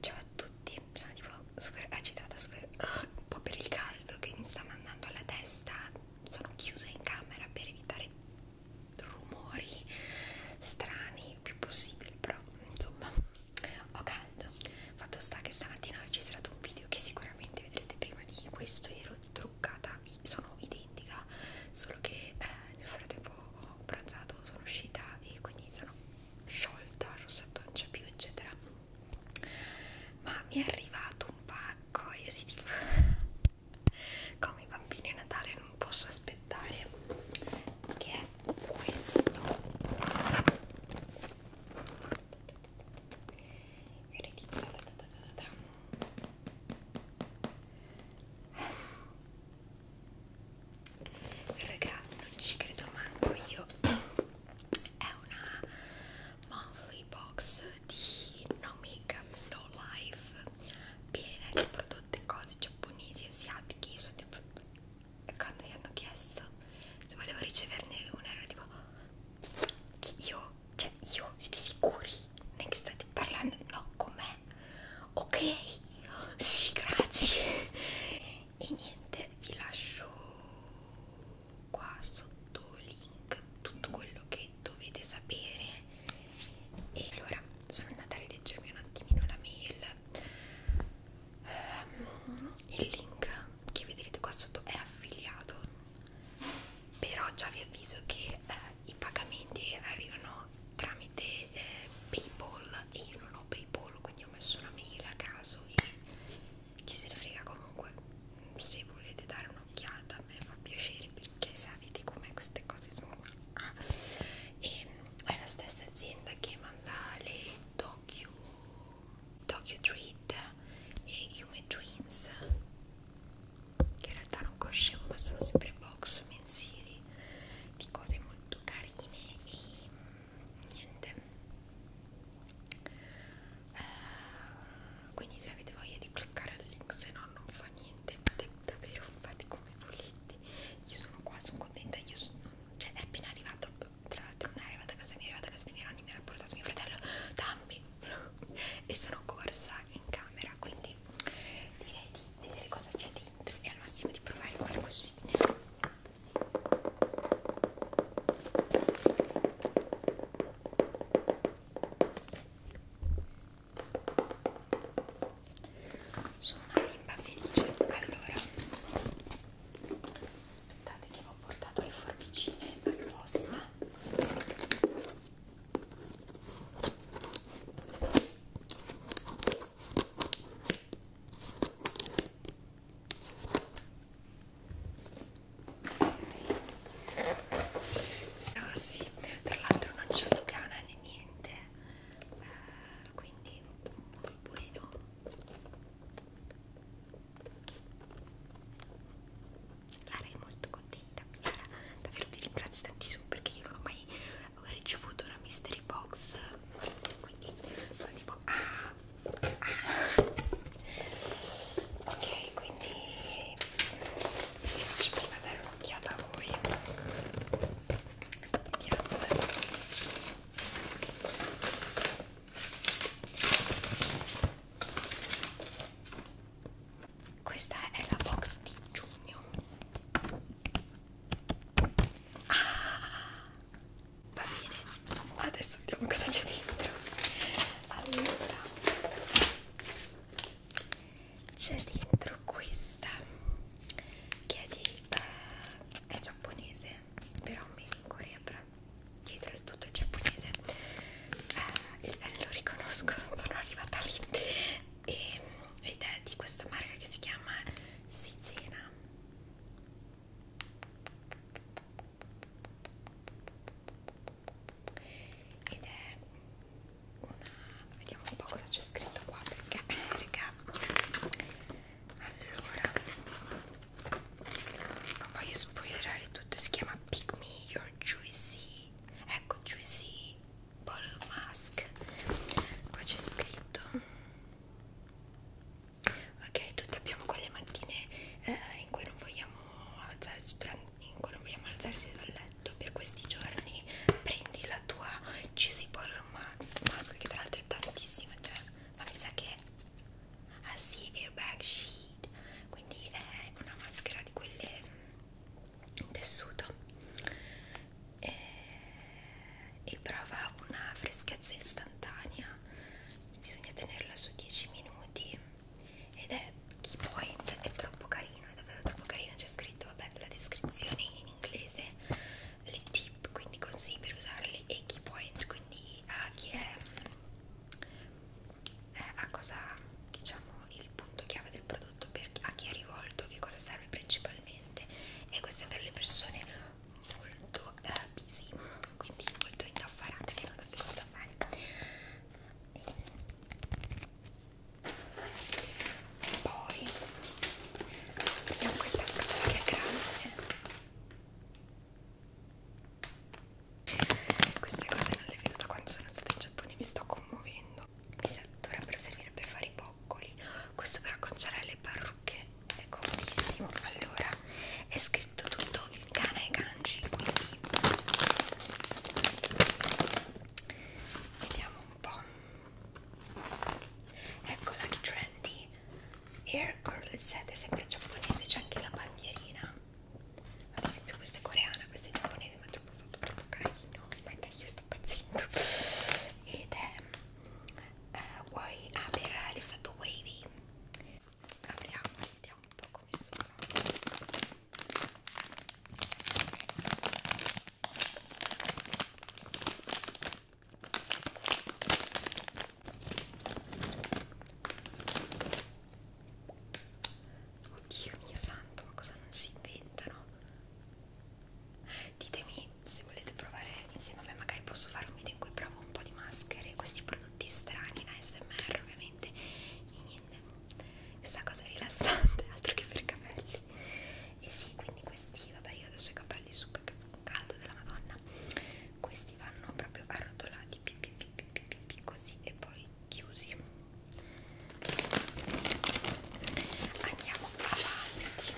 Ciao a tutti, sono tipo super agitata, super uh, un po' per il caldo che mi sta mandando alla testa. Sono chiusa in camera per evitare rumori strani il più possibile, però insomma ho caldo. Fatto sta che stamattina ho registrato un video che sicuramente vedrete prima di questo. Ero truccata, sono identica, solo che eh, nel frattempo ho pranzato, sono uscita e quindi sono sciolta, rossetto non c'è più, eccetera. Ma mi è arrivato un pacco e si tipo come i bambini a Natale non posso aspettare che è questo ridicolo raga non ci credo manco io è una monthly box di no makeup no life piena di prodotti e cose giapponesi asiatiche sono tipo e quando mi hanno chiesto se volevo riceverne una ero tipo io cioè io siete sicuri non è che state parlando no con me ok sì grazie e niente vi lascio qua sotto link tutto quello che dovete sapere e allora sono andata a rileggermi un attimino la mail um, il link che vedrete qua sotto è affiliato però già vi avviso che eh, i pagamenti arrivano pagano tramite eh, Paypal e io non ho Paypal, quindi ho messo una mail a caso e chi se ne frega comunque se volete dare un'occhiata a me fa piacere perché sapete com'è queste cose sono ah. e è la stessa azienda che manda le docu docu treat e Human Twins che in realtà non conoscevo ma sono sempre box mensili di cose molto molto carine e niente uh, quindi se avete voglia di cliccare al link se no non fa niente davvero fate come volete io sono qua sono contenta io sono, cioè è appena arrivato tra l'altro non è arrivata a casa mia è arrivata a casa dei miei nonni mi ha portato mio fratello dammi e sono corsa in camera quindi direi di vedere cosa c'è dentro e al massimo di provare quella cosina sono una bimba felice allora aspettate che vi ho portato le forbicine apposta Ah sì, tra l'altro non c'è dogana né niente, eh, quindi un buono. Lara è molto contenta, Lara davvero vi ringrazio tantissimo perché io non ho mai ho ricevuto una mystery box quindi sono tipo ah, ah. ok quindi ci prima dare un'occhiata a voi vediamo questa è la box di giugno Ah, va bene, adesso vediamo cosa c'è dentro. Allora, c'è dentro questa che è di uh, è giapponese, però made in Corea, però dietro è tutto in giapponese. Uh, il, eh, lo riconosco, sono arrivata lì e, ed è di questa marca che si chiama Sizena ed è una vediamo un po' cosa c'è scritto qua perché eh, raga allora non voglio spoilerare tutto si chiama Pick Me Your Juicy ecco Juicy bottle mask qua c'è scritto ok tutti abbiamo quelle mattine eh, in cui non vogliamo alzarci in cui non vogliamo alzarci dal letto per questi giorni prendi la tua juicy bottle mask, mask che tra l'altro è tantissima cioè ma mi sa che ah sì airbag sheet quindi è una maschera di quelle in mm, tessuto e, e prova una freschezza istantanea bisogna tenerla su 10 minuti ed è key point è troppo carino è davvero troppo carino c'è scritto vabbè la descrizione in inglese le tip quindi consigli per usarli e key point quindi a chi è eh, a cosa diciamo il punto chiave del prodotto prodotto per, a chi è rivolto, che cosa serve principalmente e queste per le persone molto eh, busy, quindi molto indaffarate che non hanno cose da fare e poi abbiamo questa scatola che è grande queste cose non le vedo da quando sono stata in Giappone mi sto commuovendo no esatto, dovrebbero servire per fare i boccoli questo per acconciare le parrucche è comodissimo allora è scritto tutto in kana e kanji quindi vediamo un po' ecco la trendy Air Curl set è sempre giapponese c'è anche la bandierina ad esempio questa è coreana questa è giapponese ma è troppo, troppo, troppo carino guarda io sto pazzendo ed è uh, eh, Way, ah, per l'effetto wavy apriamo, vediamo un po' come sono Oddio mio santo, ma cosa non si inventano? ditemi se volete provare insieme a me magari posso fare un video in cui provo un po' di maschere questi prodotti strani in ASMR ovviamente e niente questa cosa rilassante altro che per capelli e sì quindi questi vabbè io adesso ho i capelli super caldo della madonna questi vanno proprio arrotolati pi, pi, pi, pi, pi, pi, così e poi chiusi andiamo avanti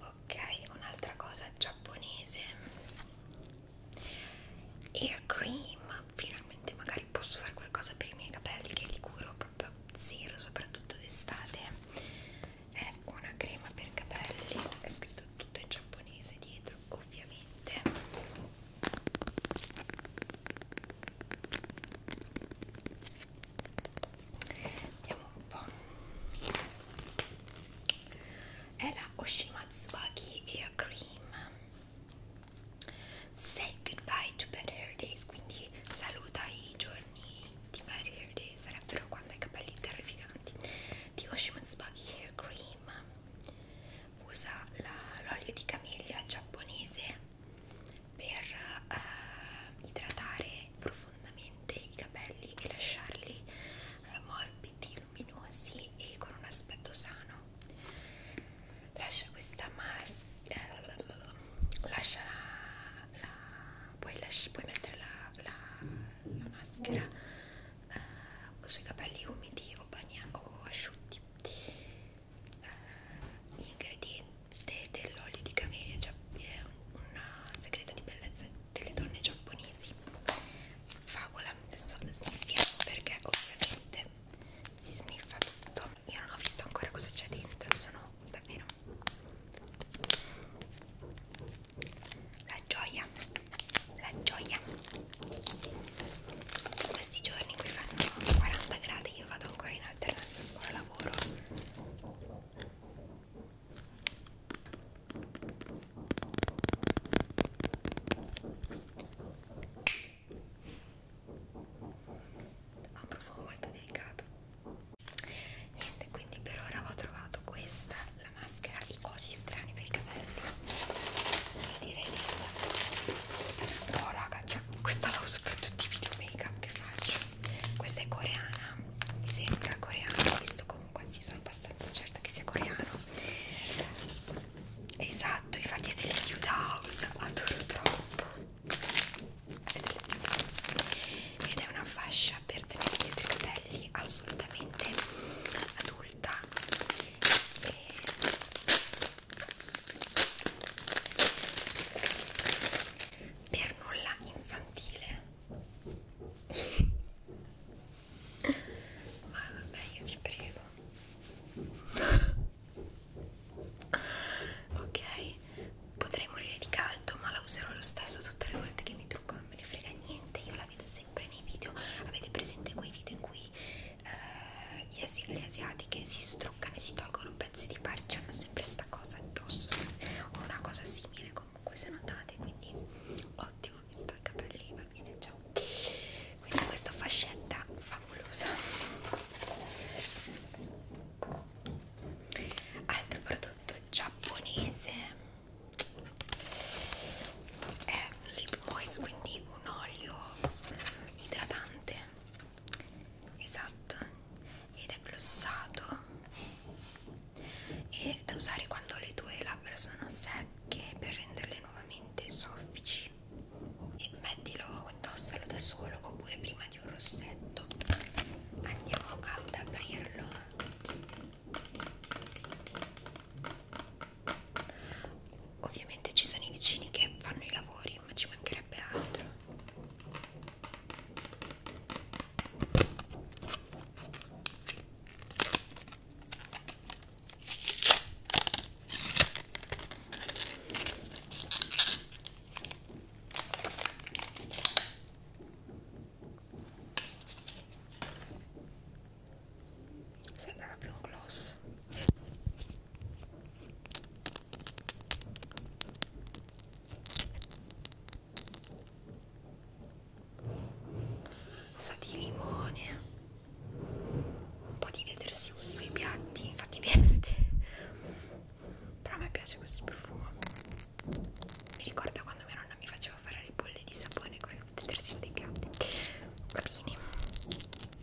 ok un'altra cosa giapponese air cream finalmente magari posso fare qualcosa per i miei capelli che li curo proprio zero soprattutto d'estate è una crema per capelli è scritto tutto in giapponese dietro ovviamente Vediamo un po'. È la Oshimatsuwaki Air Cream. Say goodbye to bad hair days, quindi saluta i giorni di bad hair days, sarebbero quando hai capelli terrificanti. Di Oshimatsuwaki Hair Cream usa l'olio di camiglia giapponese per eh, idratare profondamente i capelli e lasciarli eh, morbidi, luminosi e con un aspetto sano. Lascia questa maschera. Eh, lascia la, la puoi, lasci, puoi mettere la, la, la maschera eh, sui capelli umidi o, bagna, o asciutti eh, ingrediente dell'olio di camelia cioè è un, un segreto di bellezza delle donne giapponesi favola adesso sniffiamo perché ovviamente si sniffa tutto io non ho visto ancora cosa c'è dentro sono davvero la gioia la gioia questi giorni qui fanno 40 gradi io vado ancora in alternanza scuola lavoro ha un profumo molto delicato niente quindi per ora ho trovato questa la maschera i cosi strani per i capelli direi no raga cioè, questa la uso per tutti i video make up che faccio questa è coreana mi sembra coreana visto comunque sì sono abbastanza certa che sia coreano esatto infatti è delle Dude House adoro troppo è delle Dude House ed è una fascia per tenere dietro i capelli assolutamente adulta e per nulla infantile ma vabbè io vi prego ok potrei morire di caldo ma la userò lo stesso tutte le volte che mi trucco non me ne frega niente io la vedo sempre nei video avete presente quei video in cui eh, gli asi, le asiatiche si struccano e si tolgono pezzi di parci, hanno sempre sta cosa addosso o una cosa simile comunque se notate, quindi ottimo, mi sto i capelli, va bene, ciao quindi questa fascetta favolosa altro prodotto giapponese è un lip moist quindi un olio idratante esatto ed è glossato e da usare quando le tue labbra sono secche per renderle nuovamente soffici e mettilo indossalo da solo oppure prima di un rossetto andiamo ad aprirlo Ovviamente ci sono i vicini che fanno i lavori, ma ci mancherebbe altro sembra proprio un gloss sa di limone un po' di detersivo nei miei piatti infatti verde però a me piace questo profumo mi ricorda quando mia nonna mi faceva fare le bolle di sapone con il detersivo dei piatti va bene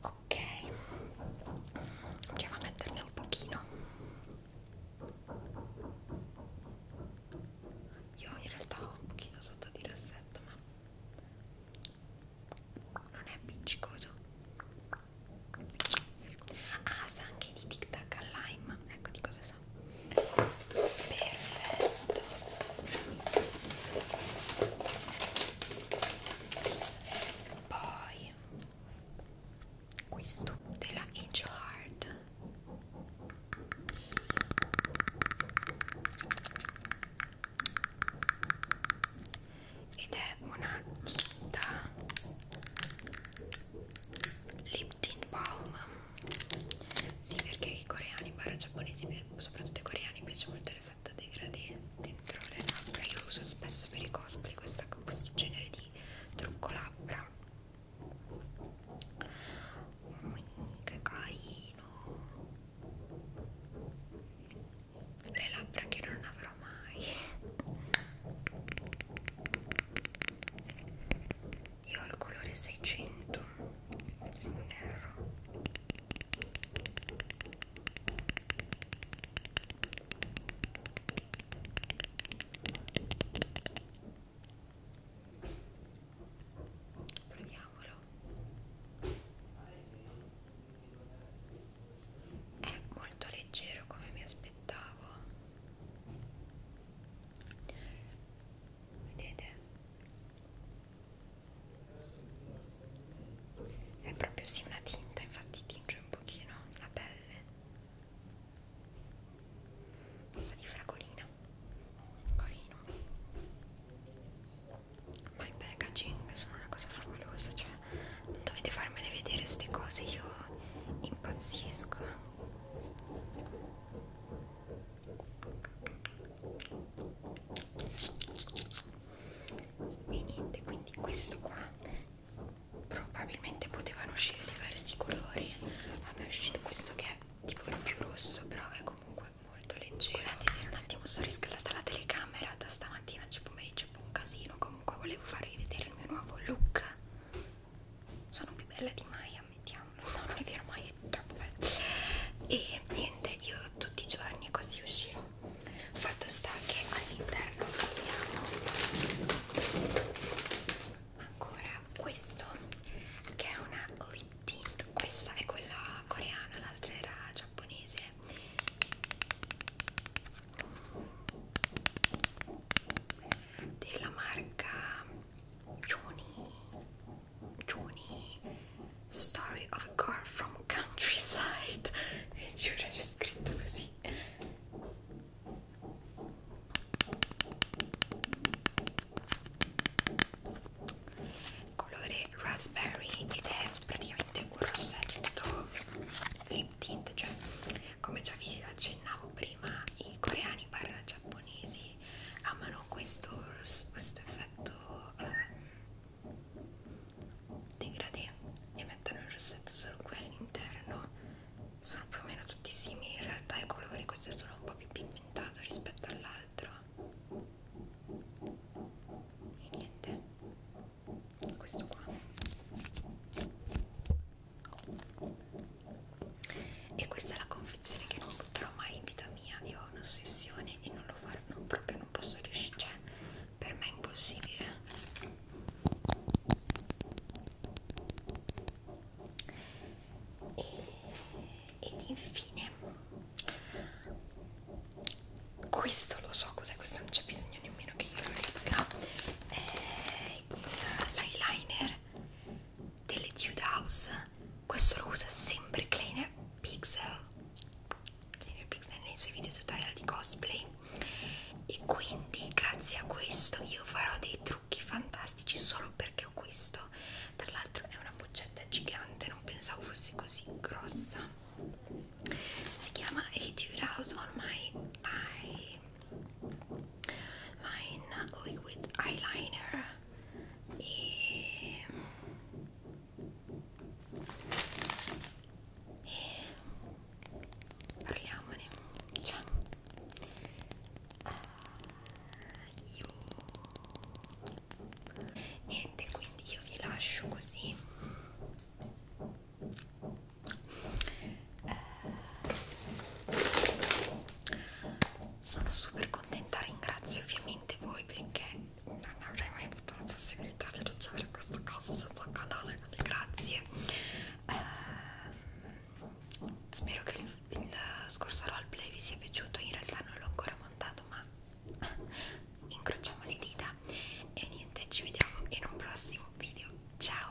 ok andiamo a metterne un pochino io in realtà ho un pochino sotto di rassetto ma non è appiccicoso ah sa anche di tic tac al lime ecco di cosa sa perfetto poi questo della Angel Heart ed è una tinta lip tint balm sì, perché i coreani, barra giapponesi, soprattutto i coreani, piace molto l'effetto dei gradi dentro le labbra. Io uso spesso per i cosplay questa, questo genere di trucco labbra. Mm, che carino! Le labbra che non avrò mai io ho il colore 600 se non erro proviamolo è molto leggero come mi aspettavo vedete è proprio sì una tinta, infatti tinge un pochino la pelle. Cosa di fragolina. Corino. Ma i packaging sono una cosa favolosa, cioè non dovete farmele vedere queste cose, io impazzisco e niente quindi questo qua probabilmente potevano uscire diversi colori a me è uscito questo che è tipo il più rosso però è comunque molto leggero scusate se un attimo sono riscaldata la telecamera da stamattina c'è pomeriggio è un po' un casino comunque volevo farvi vedere il mio nuovo look sono più bella di mai ammettiamo no non è vero ma è troppo bello e niente io tutti i giorni così uscirò fatto sta che all'interno abbiamo ancora questo che è una lip tint questa è quella coreana l'altra era giapponese della marca Johnny Juni Story of a girl from countryside e giuro c'è scritto così colore raspberry ed è praticamente un rossetto lip tint cioè come già vi accennavo prima i coreani barra giapponesi che amano questo, questo effetto eh, degradé e mettono il rossetto solo qui all'interno sono più o meno tutti simili in realtà i colori questo è solo un po' più pigmentato rispetto all'altro e niente questo qua e questa è la confezione che non butterò mai in vita mia io ho un'ossessione e non lo farò non, proprio non posso riuscire cioè per me è impossibile e, ed infine questo lo so cos'è questo non c'è bisogno nemmeno che io lo dica l'eyeliner delle Dude House questo lo usa sempre Cleaner Pixel Cleaner Pixel nei suoi video tutorial di cosplay e quindi grazie a questo io farò dei trucchi fantastici solo perché ho questo tra l'altro è una boccetta gigante non pensavo fosse così grossa si chiama A Dude House on my eye line liquid eyeliner e, e parliamone cioè, uh, io niente quindi io vi lascio così uh, sono super contenta, ringrazio ovviamente voi perché non avrei mai avuto la possibilità di ricevere questo caso senza un canale, quindi grazie. Eh, spero che il, il scorso roleplay vi sia piaciuto, in realtà non l'ho ancora montato ma incrociamo le dita e niente, ci vediamo in un prossimo video, ciao!